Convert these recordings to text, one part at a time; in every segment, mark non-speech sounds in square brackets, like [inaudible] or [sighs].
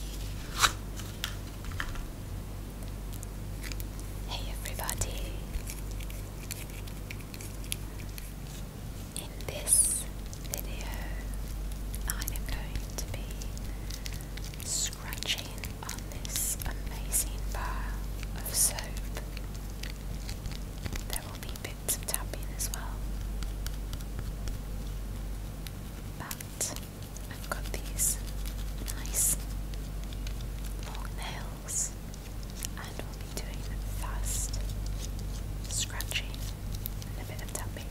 Hey everybody! In this video, I am going to be scratching on this amazing bar of soap. There will be bits of tapping as well. But I've got these nice long nails, and we'll be doing them fast, scratching, and a bit of tapping.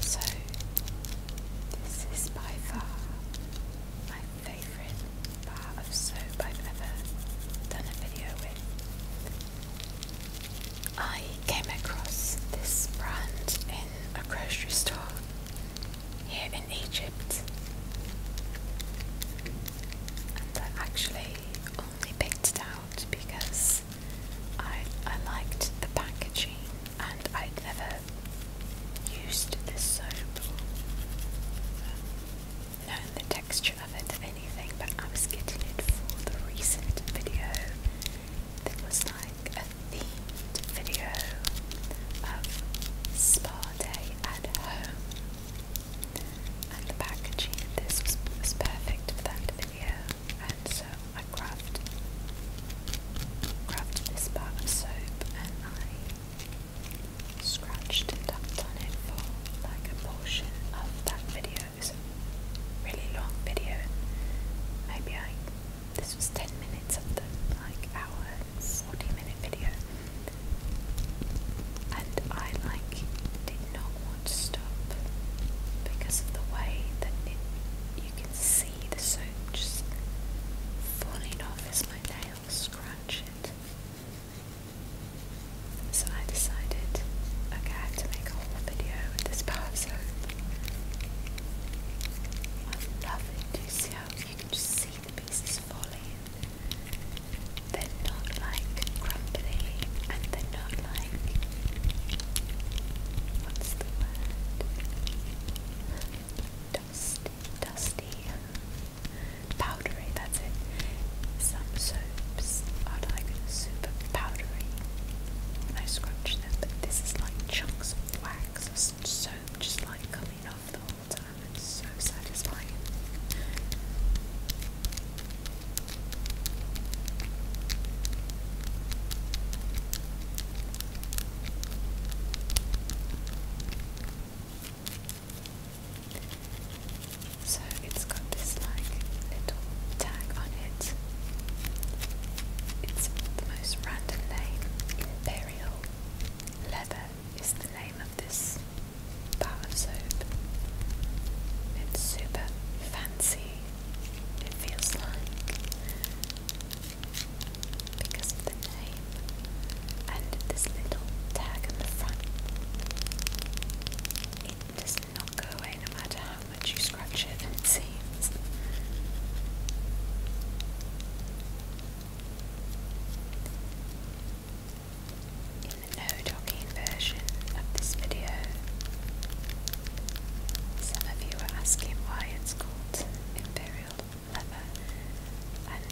So, this is by far my favourite bar of soap I've ever done a video with. I came across this brand in a grocery store here in Egypt, and I actually only picked it out because I I liked the packaging, and I'd never used this soap. before not the texture of it or anything, but I was getting it for the recent video that was like a themed video of spa day at home. And the packaging this was, perfect for that video, and so I grabbed grabbed this bar of soap and I scratched and tapped on it for like a portion of that video videos, really long video. Maybe I this was ten minutes of like hour forty minute video, and I like did not want to stop because of the way that you can see the soap falling off as my nails scratch it. So I decided, okay, to make a whole video with this bar soap. I love it. Do you see how you can just see the pieces falling? They're not like crumbly and they're not like what's the word? Dusty, dusty powdery, that's it. Some soaps are like super powdery when I scrunch them, but this is like chunks of wax or soap just like coming off the whole time. It's so satisfying. So it's got this like little tag on it. It's the most random name. Imperial Leather is the name of this bar of soap. It's super fancy. It feels like because of the name and this little tag on the front does not go away no matter how much you scratch it, it seems. In the no docking version of this video, some of you are asking why it's called Imperial Leather, and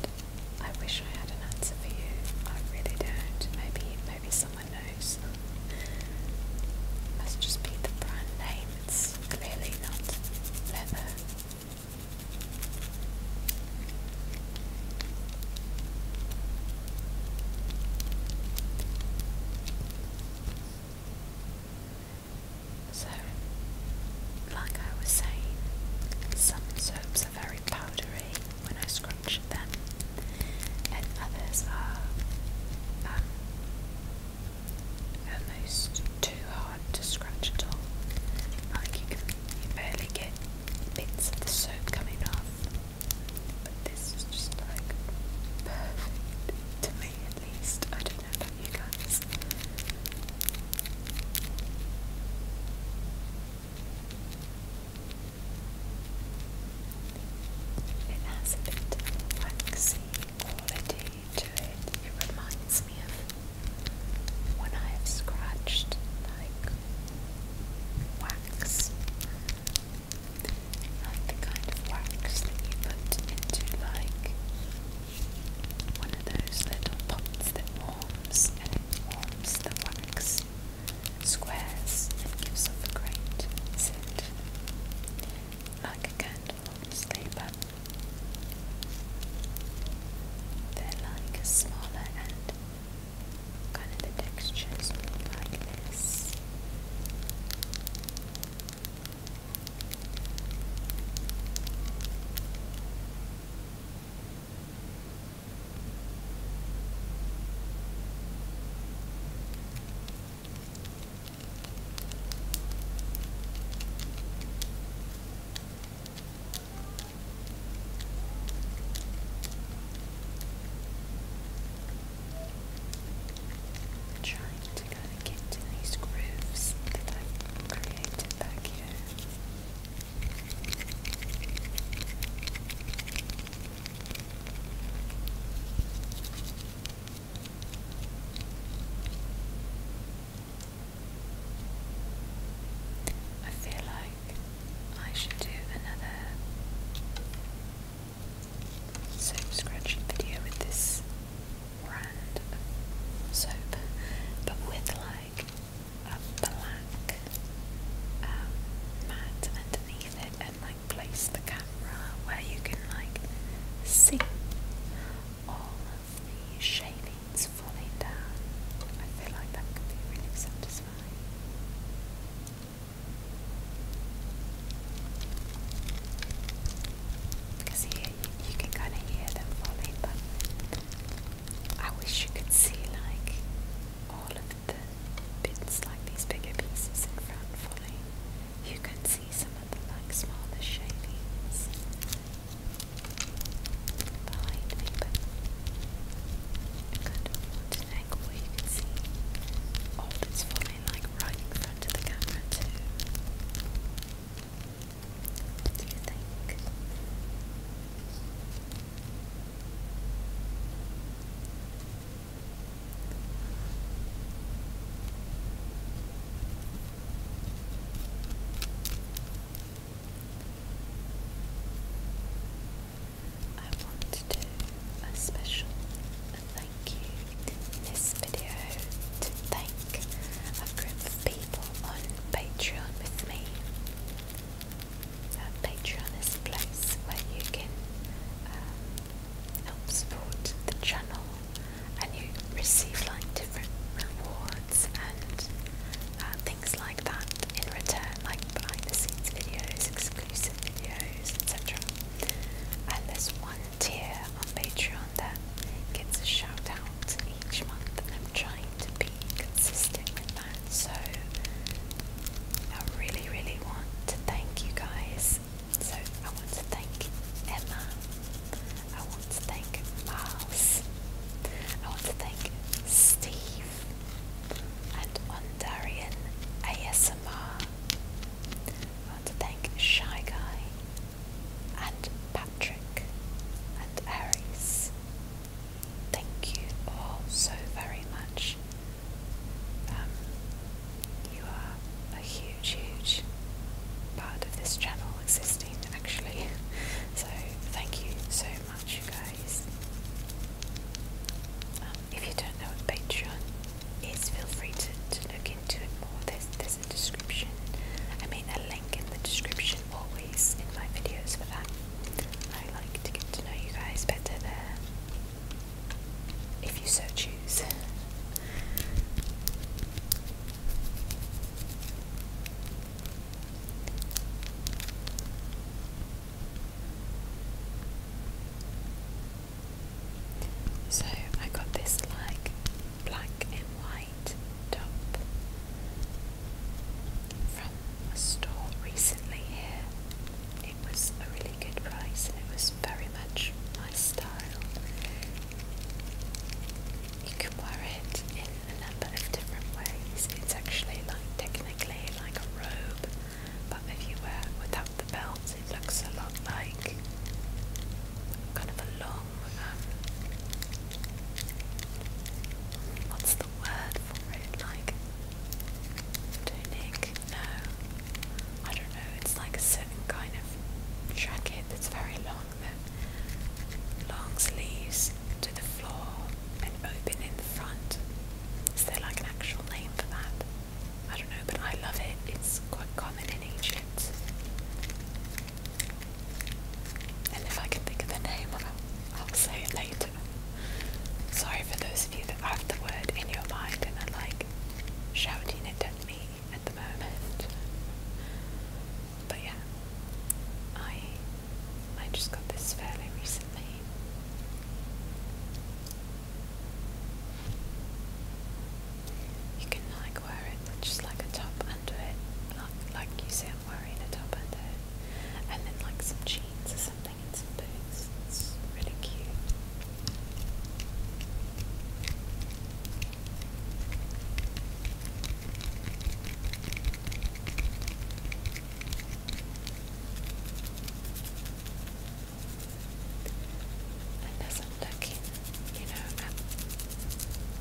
I wish I had an answer for you. I really don't. Maybe, maybe some must just be the brand name, it's clearly not leather. So, like I was saying, some soaps are very powdery when I scrunch them, and others are um, almost too hard to scratch at all. Like you can barely get bits of the soap coming off. But this is just like perfect to me at least. I don't know about you guys. It has a bit of waxy quality to it. It reminds me of when I have scratched like wax. Like the kind of wax that you put into like one of those little pots that warms and it warms the wax squares and gives off a great like a candle on They're like smaller and kind of the textures like this. Trying to kind of get to these grooves that i created back here. I feel like I should do another soap scratching video with this brand of soap, but with like a black mat underneath it and like place the camera where you can like see all of the shavings falling down. I feel like that could be really satisfying. Because here you can kind of hear them falling, but I wish you could see like all of the bits like these bigger pieces in front fully. You can see some of the like smaller shavings behind me, but I kind of want can see all that's falling like right in front of the camera too. do you think? I want to do a special thank you in this video to thank a group of people on Patreon with me. Patreon is a place where you can um, help support the channel and you receive like different rewards and uh, things like that in return, like behind the scenes videos, exclusive videos, etc. And there's one tier on Patreon that gets a shout out each month, and I'm trying to be consistent with that. So I really, really want to thank you guys. So I want to thank Emma. I want to thank Miles. I want to thank Steve and Ondarian ASMR. I want to thank Shy Guy and Patrick and Aries Thank you all so very much. Um, you are a huge, huge part of this channel existing actually. [laughs] So thank you so much, you guys. Um, if you don't know what Patreon is, feel free to look into it more. There's there's a description. I mean a link in the description always in my videos for that. I like to get to know you guys better there, if you so choose. So I got this like black and white top from a store recently here. It was a really good price and it was very much my style. You can wear it in a number of different ways. It's actually like technically like a robe, but if you wear it without the belt, it looks a lot like kind of a long. Um, word for it? Like tunic? No, I don't know. It's like a certain kind of jacket that's very long, that long sleeves to the floor and open in the front. Is there like an actual name for that? I don't know, but I love it. It's quite common in Egypt. And if I can think of the name, I'll say it later. Sorry for those of you that have the word in your mind and are like shouting it at me at the moment. But yeah, I I just got this fairly recently. You can like wear it just like a top under it, like like you say I'm wearing a top under it, and then like some jeans or something something It's really cute. And as I'm looking, you know, at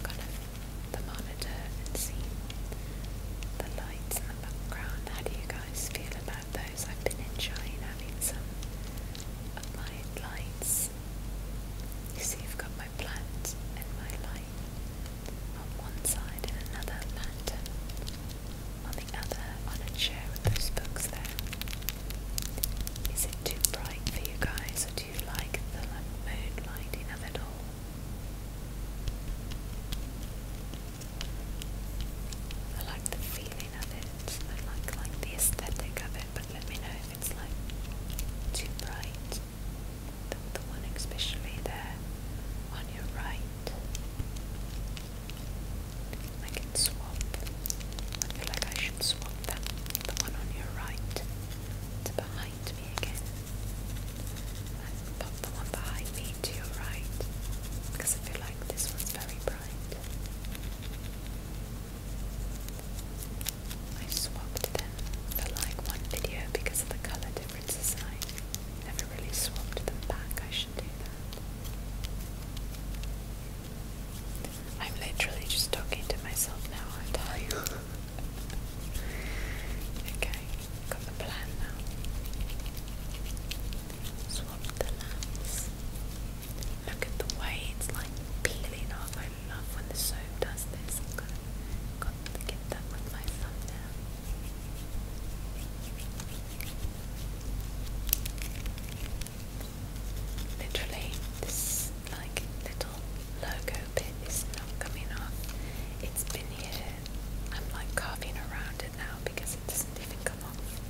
kind of the monitor and seeing the lights background. How do you guys feel about those? I've been enjoying having some of my lights. You see, I've got my plant and my light on one side and another lantern on the other on a chair with those books there. Is it too bright for you guys or do you like the moonlight mood lighting of all? I like the feeling of it. I like like the aesthetic of it, but let me know if it's like too bright. The, one especially there on your right. I can swap. I feel like I should swap that. The one on your right. behind me again. Let's the one behind me to your right, because I feel like this one's very bright. I swapped them for like one video because of the colour differences and never really swapped them back. I should do that. I'm literally just talking to myself now, I'm tired. [laughs] okay. Got the plan now. Swap the lamps. Look at the way it's like peeling off. I love when the soap does this. got to get that with my thumbnail. Literally, this like little logo bit is not coming off. It's been here I'm like coughing around it now because it doesn't even come off.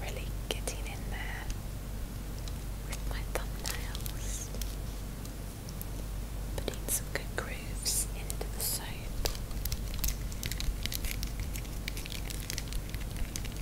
Really getting in there with my thumbnails, putting some good grooves into the soap.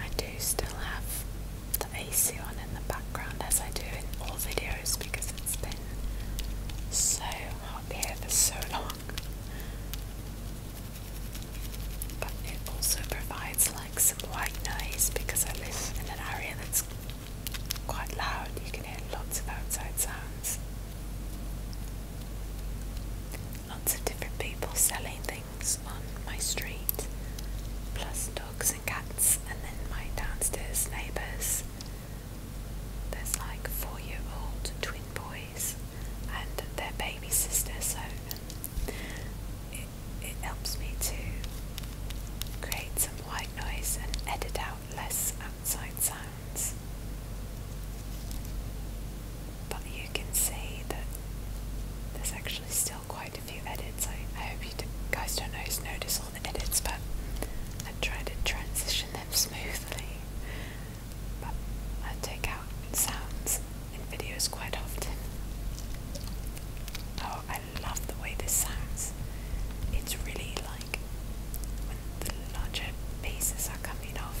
I do still have the AC on in the background as I do in all videos because it's been so hot here for so long. But it also provides like some white noise because I live in an area that's quite loud. You can hear lots of outside sounds. Lots of different people selling things on my street, plus dogs and cats, and then my downstairs neighbours there's like four year old twin boys and their baby sister, so it, helps me to create some white noise and edit out less outside sounds. But you can see that there's actually still quite a few edits. I hope you guys don't notice all the edits, but I try to transition them smoothly. But I take out sounds in videos quite often. Oh, I love the way this sounds. It's really like when the larger pieces are coming off.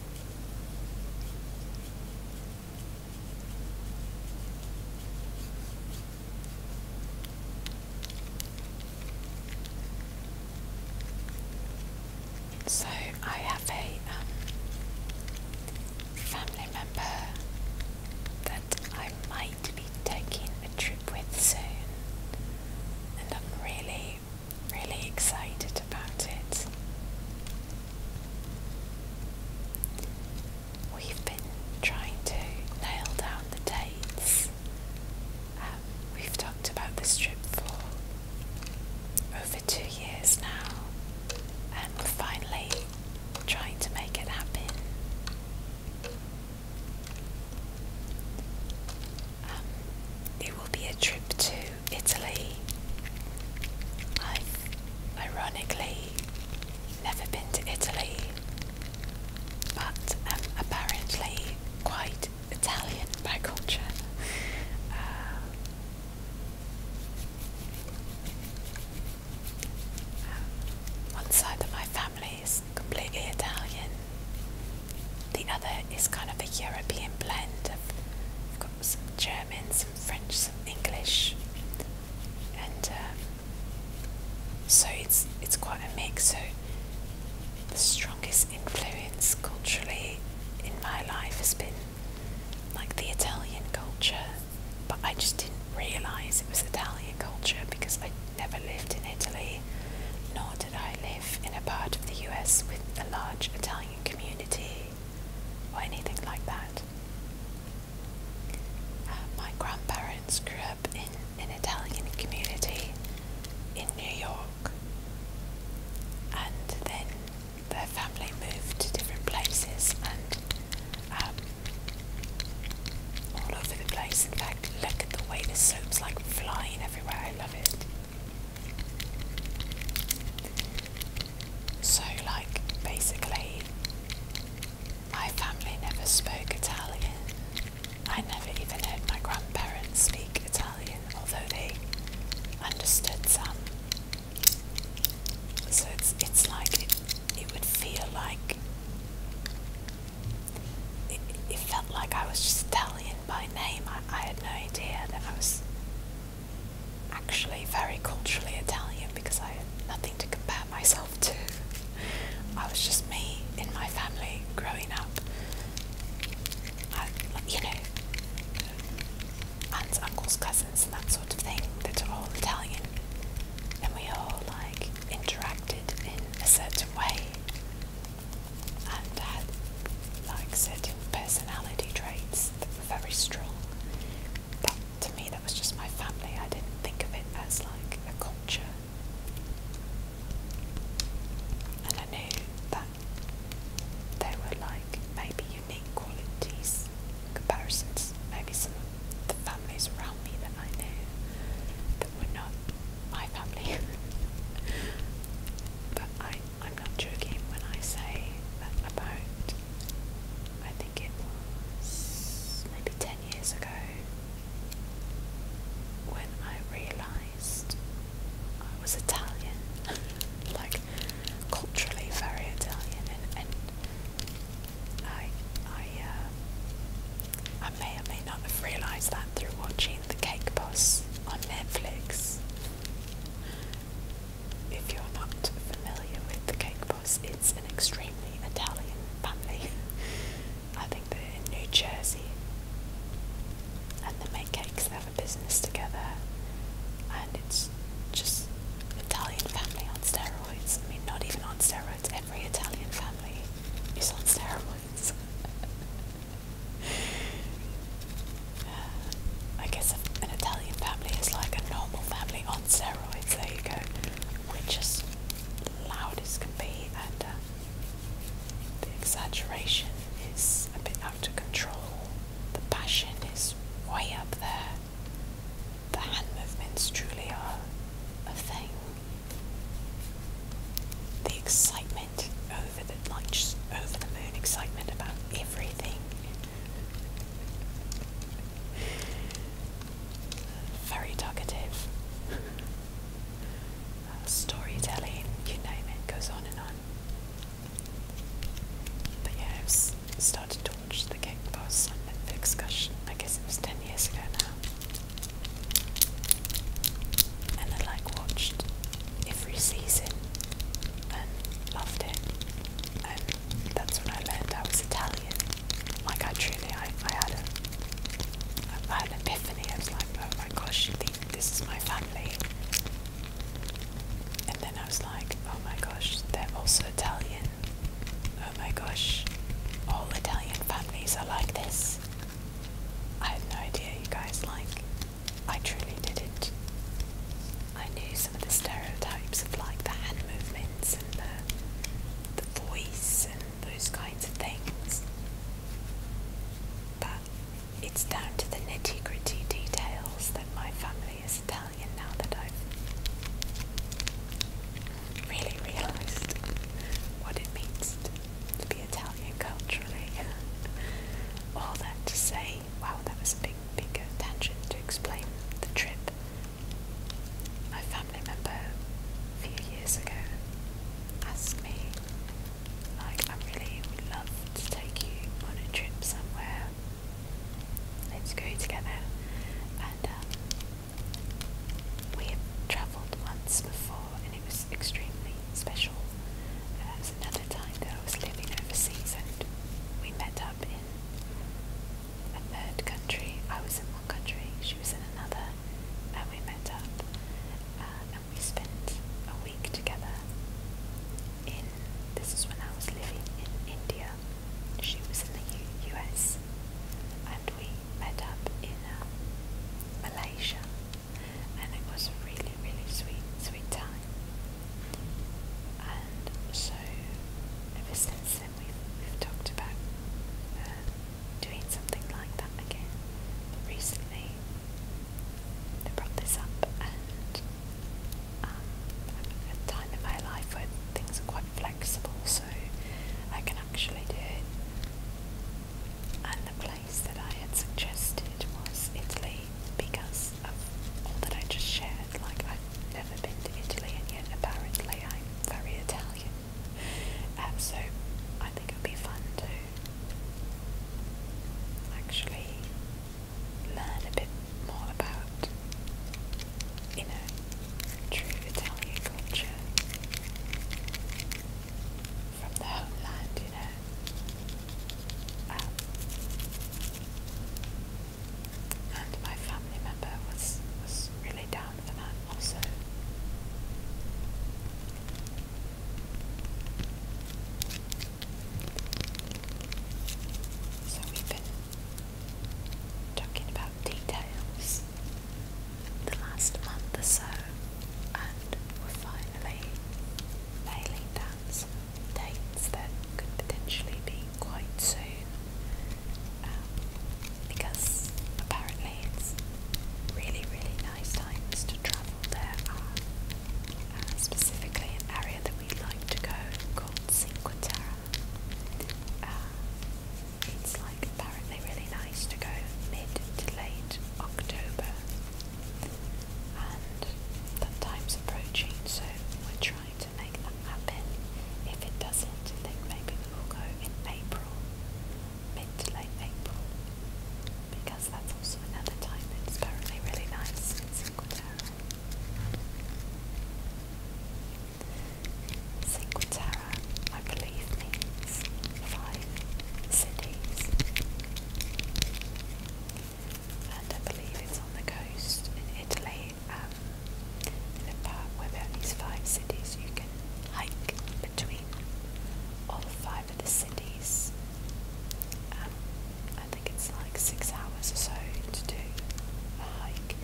So I have a um, family member that I might be taking a trip with soon, and I'm really really excited about it. We've been trying to nail down the dates. Um, we've talked about this trip for over two years now, and finally trying to make it happen. Um, it will be a trip to Italy. I've ironically never been to Italy, but am apparently quite Italian by culture. Uh, um, one side of my family is completely Italian, the other is kind of a European blend of got some German, some French, some English, and um, so it's it's quite a mix. So the strongest influence culturally in my life has been like the Italian culture, but I just didn't realise it was Italian culture because I never lived in Italy nor did I live in a part of the US with a large Italian community or anything like that. Uh, my grandparents grew up in an Italian community in New York, and then their family moved to different places and um, all over the place. In fact, look at the way the soap's like flying everywhere. I love it. So, like, basically, my family never spoke Italian. I never even heard my grandparents speak Italian, although they understood some. So it's it's like it, it would feel like it, it felt like I was just Italian by name. I, had no idea that I was actually very culturally Italian because I had nothing to compare myself to. I was just me in my family growing up. I, you know, aunts, uncles, cousins, and that sort of thing that are all Italian. And we all like interacted in a certain way and had like certain personality traits that were very strong. But to me that was just my family. I didn't think of it as like a culture. And I knew that there were like maybe unique qualities, comparisons, maybe some of the families around me that I knew that were not my family. [laughs] but I, I'm not joking when I say that about, I think it was maybe 10 years ago, when I realised I was Italian, [laughs] like culturally very Italian, and, and I, I, uh, I may or may not have realised that through watching the Cake Boss on Netflix. If you're not familiar with The Cake Boss, it's an extremely Italian family. [laughs] I think they're in New Jersey and they make cakes, they have a business together, and it's just Italian family on steroids. I mean, not even on steroids, every Italian family is on steroids. [laughs] [sighs] I guess an Italian family is like a normal family on steroids. There you go. We're just loud as can be, and uh, the exaggeration is a bit out of control. The passion is way up there. The hand movements truly are a thing. The excitement over the like over the moon excitement about everything. Very talkative. Uh, storytelling, you name it, goes on and on. But yeah, I've started to watch The Cake Boss on Netflix, gosh, I guess it was 10 years ago now. And I like watched every season and loved it. And that's when I learned I was Italian. Like I truly, I, I had a, I had an epiphany. I was like, oh my gosh, this is my family. And then I was like, oh my gosh, they're also Italian. Oh my gosh, all Italian families are like this. I had no idea, you guys. Like, I truly didn't. I knew some of the stereotypes of like the hand movements and the, the voice and those kinds of things. But it's down to the nitty gritty details that my family is Italian now that I've really realised what it means to to be Italian culturally. All that to say, wow, that was a big, big uh, tangent to explain the trip. My family member a few years ago asked me, like, I really would love to take you on a trip somewhere. Let's go together. And um, we have travelled once before and it was extremely special. Uh, was another time that I was living overseas, and we met up in a third country. I was in one country, she was in another, and we met up, uh, and we spent a week together. In this is when I was living in India. She was in the US, and we met up in uh, Malaysia and it was really, really sweet, sweet time. And so, ever since then, we've, talked about uh, doing something like that again. But recently, they brought this up, and um, at a time in my life where things are quite flexible, so I can actually do it. And the place that I had suggested was Italy because of all that I just shared. Like, I've never been to Italy, and yet apparently I'm very Italian. Um, so, I think it would be fun to actually learn a bit more about, you know, true Italian culture from the homeland, that. Um, and my family member was was really down for that also. So we've been talking about details the last month or so, and were finally nailing down dates that could potentially be quite soon um, because apparently it's really, really nice times to travel. There are uh, specifically an area that we like to go called Cinque Terre. Uh, it's like apparently really nice to go mid to late October and that time's approaching, so we're trying to make that happen. If it doesn't, then maybe we will go in April, mid to late April, because that's also another time that's currently really nice in Cinque I believe, means five cities and I believe it's on the coast in Italy. Um, the part where there are these five cities, you can hike between all five of the cities. Um, I think it's like six hours or so to do a hike.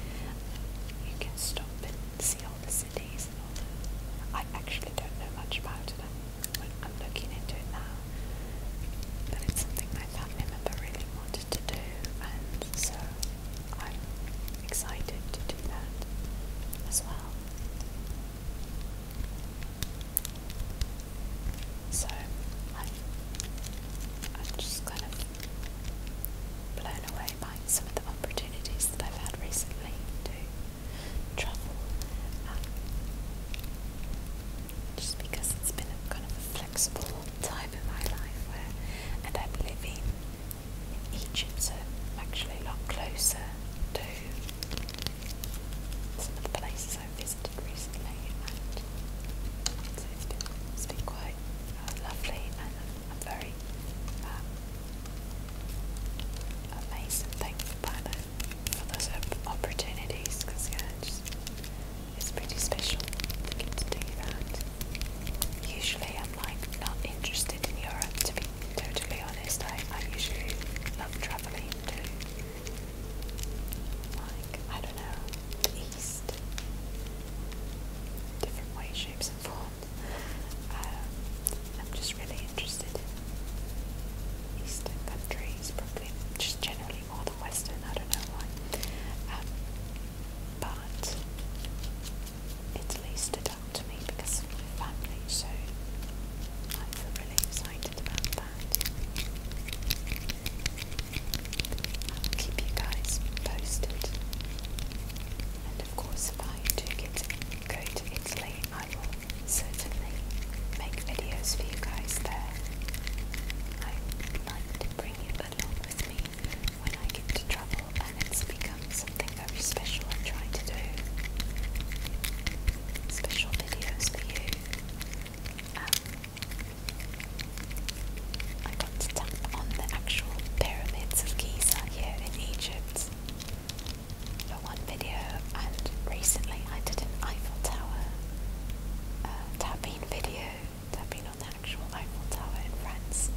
You can stop and see all the cities I actually don't know much about it. I'm looking into it now, but it's something my I never really wanted to do, and so I'm excited to do that as well. So I'm, just kind of blown away some of the opportunities that I've had recently travel. Um, just because it's been a kind of flexible time in my life where, and I'm living in Egypt, so I'm actually a lot closer to some of the places I have visited recently, and so it's been, it's been quite uh, lovely, and I'm, very um, amazing thing for Pano for those opportunities because yeah, it's, pretty special to do that. Usually I'm like not interested in Europe to be totally honest. I, I usually love travelling to like, I don't know, the east. Different ways, shapes and forms. Um, I'm just really interested Eastern countries, probably just generally more than Western, I don't know um, but Italy stood out to me because of my family, so I feel really excited about that. I'll keep you guys posted. And of course, if I do get to go to Italy, I will certainly make videos for you guys there. I like to bring it along with me when I get to travel and it's become something very special I try to do. Special videos for you. Um, I got to tap on the actual pyramids of Giza here in Egypt for one video, and recently I did an Eiffel Tower uh, tapping video, tapping on the actual Eiffel Tower in France.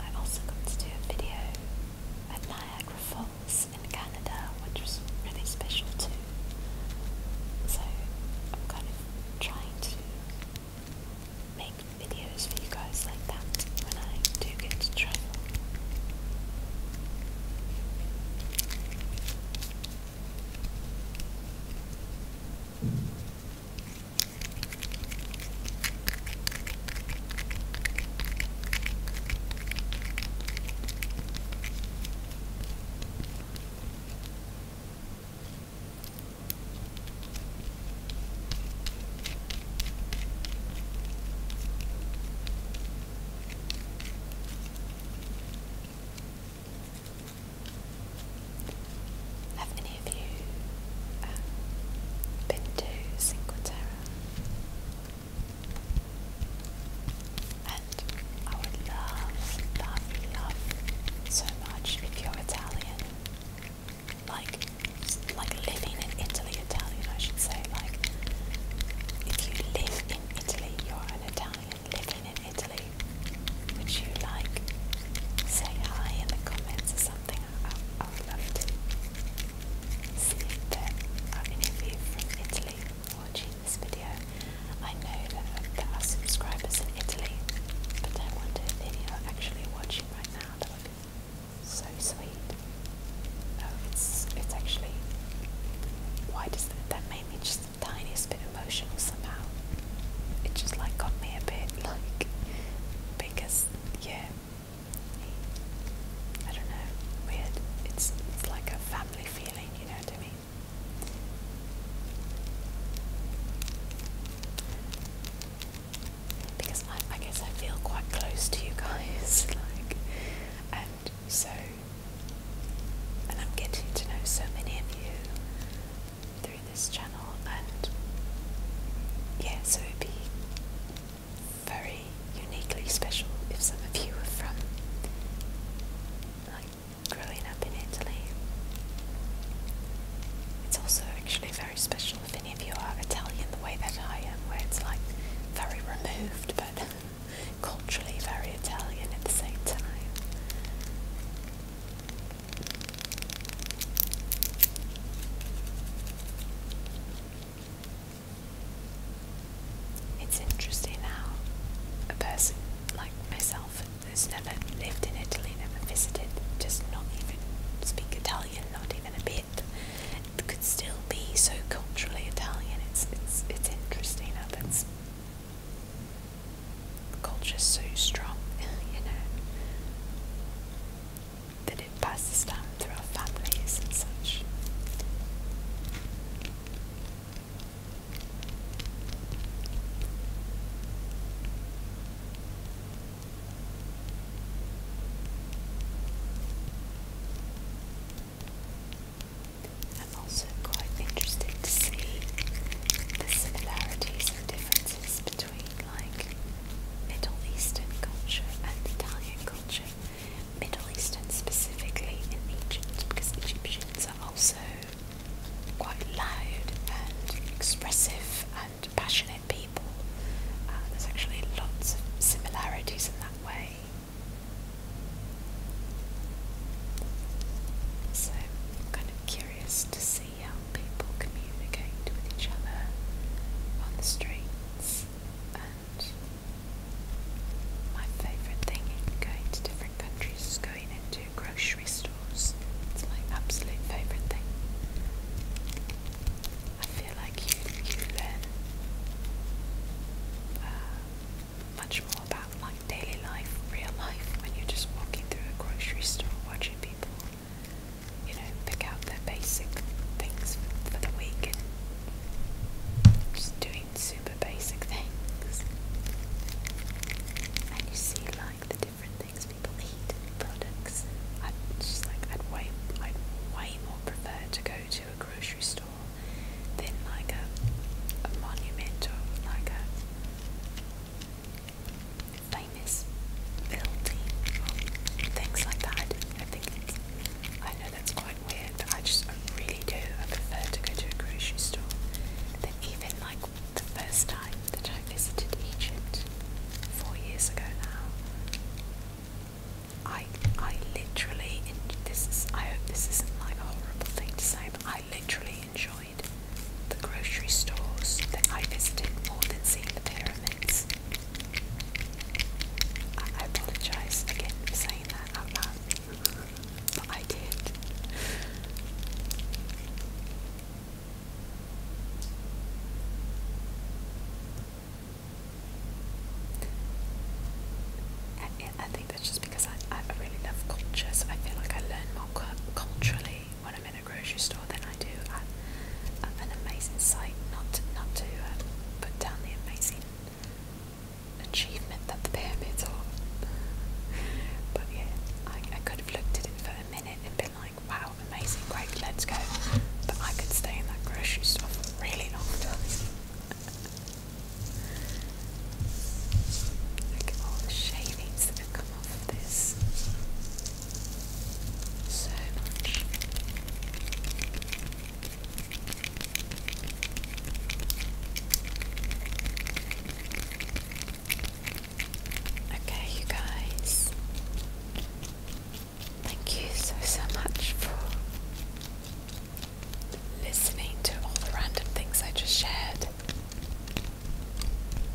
I also got to do a video at Niagara Falls in Canada, which was really special too. So I'm kind of trying to make videos for you guys like that when I do get to travel. Have any of you um, been to Cinque Terre? And I would love, love, love so much if you're Italian like like living in Italy, Italian I should say, like if you live in Italy, you're an Italian living in Italy. Would you like say hi in the comments or something? I, I would love to see if there are any of you from Italy watching this video. I know that there are subscribers in Italy, but I wonder if any are actually watching right now. That would be so sweet. Oh, it's it's actually why does that that me just the tiniest bit emotional somehow. It just like got me a bit [laughs] like because yeah I don't know, weird. It's it's like a family feeling, you know what I because I, guess I feel quite close to you guys, [laughs] like, and so, and I'm getting to know so many of you through this channel, and yeah, so it'd be very uniquely special if some of you were from, like, growing up in Italy. It's also actually very special if any of you are Italian the way that I am, where it's like very removed but [laughs] culturally very Italian at the same time. It's interesting how a person like myself who's never lived in Italy, never visited, just not even speak Italian, not even a bit, could still be so culturally Italian. It's it's it's interesting how that's culture's so strong, [laughs] you know, that it passes down through our families and such. I'm also quite interested to see the similarities and differences between like Middle Eastern culture and Italian culture. Middle Eastern specifically in Egypt because Egyptians are also quite loud and expressive passionate people. Uh, there's actually lots of similarities in that way. So kind of curious to see how people communicate with each other on the streets. And my favourite thing in going to different countries is going into grocery stores. It's my absolute favourite thing. I feel like you, you learn uh, much more about like daily life, real life, when you're just walking through a grocery store, watching people, you know, pick out their basic things for, for the week and just doing super basic things. And you see like the different things people eat products. I'd just like I'd way I'd way more prefer to go to a grocery store than like a, a monument or like a famous building or things like that. I think it's, I know that's quite weird, but I just I really do. I prefer to go to a grocery store than even like the first time that I visited Egypt four years ago now. I I literally this I hope this isn't like a horrible thing to say, but I literally enjoyed the grocery stores that I visited more than seeing the pyramids. I, I apologise again for saying that out loud, but I did. And I think that's just because I, I really love culture, so I feel like I learn more culturally when I'm in a grocery store than I do at an amazing site. Not to, not to uh, put down the amazing achievement that the pyramids are, [laughs] but yeah, I, I could have looked at it for a minute and been like wow, amazing, great, let's go. But I could stay in that grocery store really long [laughs] Look at all the shavings that have come off of this. So much. Okay, you guys. Thank you so, so much for listening to all the random things I just shared.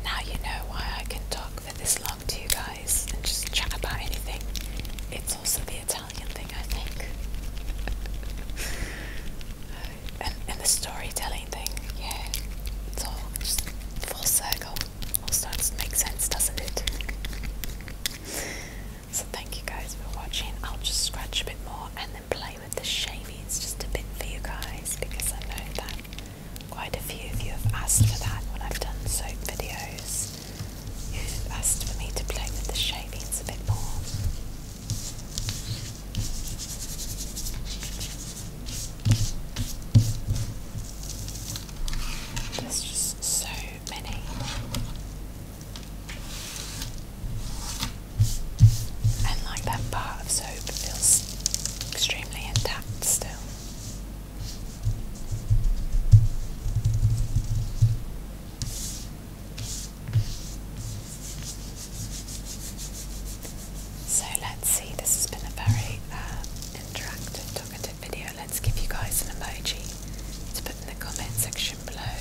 Now you know why I can talk for this long to you guys and just chat about anything. It's also the Italian thing, I think. [laughs] and, and the storytelling thing, yeah. It's all just full circle. All starts to make sense, doesn't it? So thank you guys for watching. I'll just scratch a bit more and then play with the shavings just a bit for you guys because I know that quite a few of you have asked for that when I've done soap videos. You've asked for me to play with the shavings a bit more. There's just so many. And like that part of soap feels extremely intact still. So let's see, this has been a very uh, interactive, talkative video, let's give you guys an emoji to put in the comment section below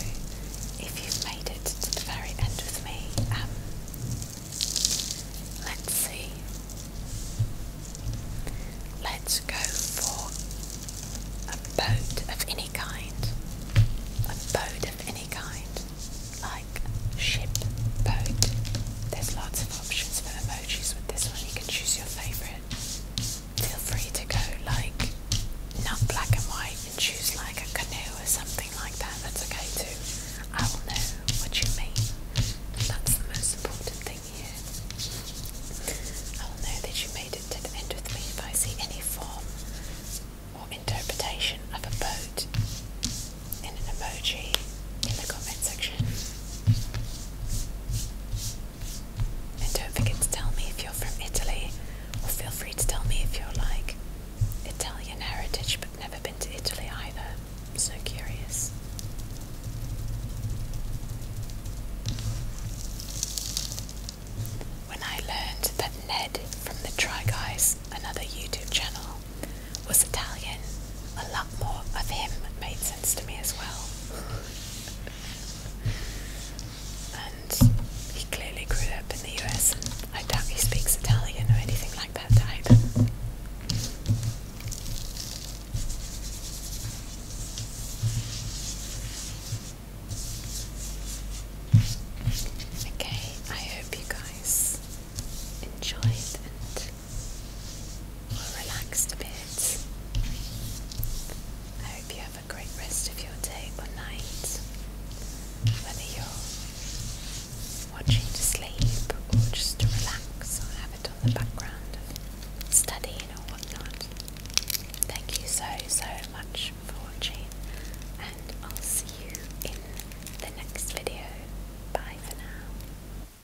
if you've made it to the very end with me. Um, let's see. Let's go for a boat of any kind. A boat of any kind. Like ship, boat. There's lots of options for emojis with this one. You can choose your favourite. Feel free to go like not black and white and choose like a canoe or something like that. That's okay too. I will know what you mean. That's the most important thing here. I will know that you made it to the end with me if I see any form or interpretation of a boat in an emoji in the comment section. And don't forget to tell me if you're from Italy, or feel free to tell me if you're like Italian heritage but never been to Italy either. so curious. When I learned that Ned from the Try Guys, another YouTube channel, was Italian, a lot more of him made sense to me as well. and he clearly grew up in the US. I doubt he speaks Italian or anything like that either. Okay, I hope you guys enjoyed and relaxed a bit. I hope you have a great rest of your day or night, whether you're watching to sleep or just to relax or have it on the background of studying or whatnot. Thank you so, so much for watching, and I'll see you in the next video. Bye for now.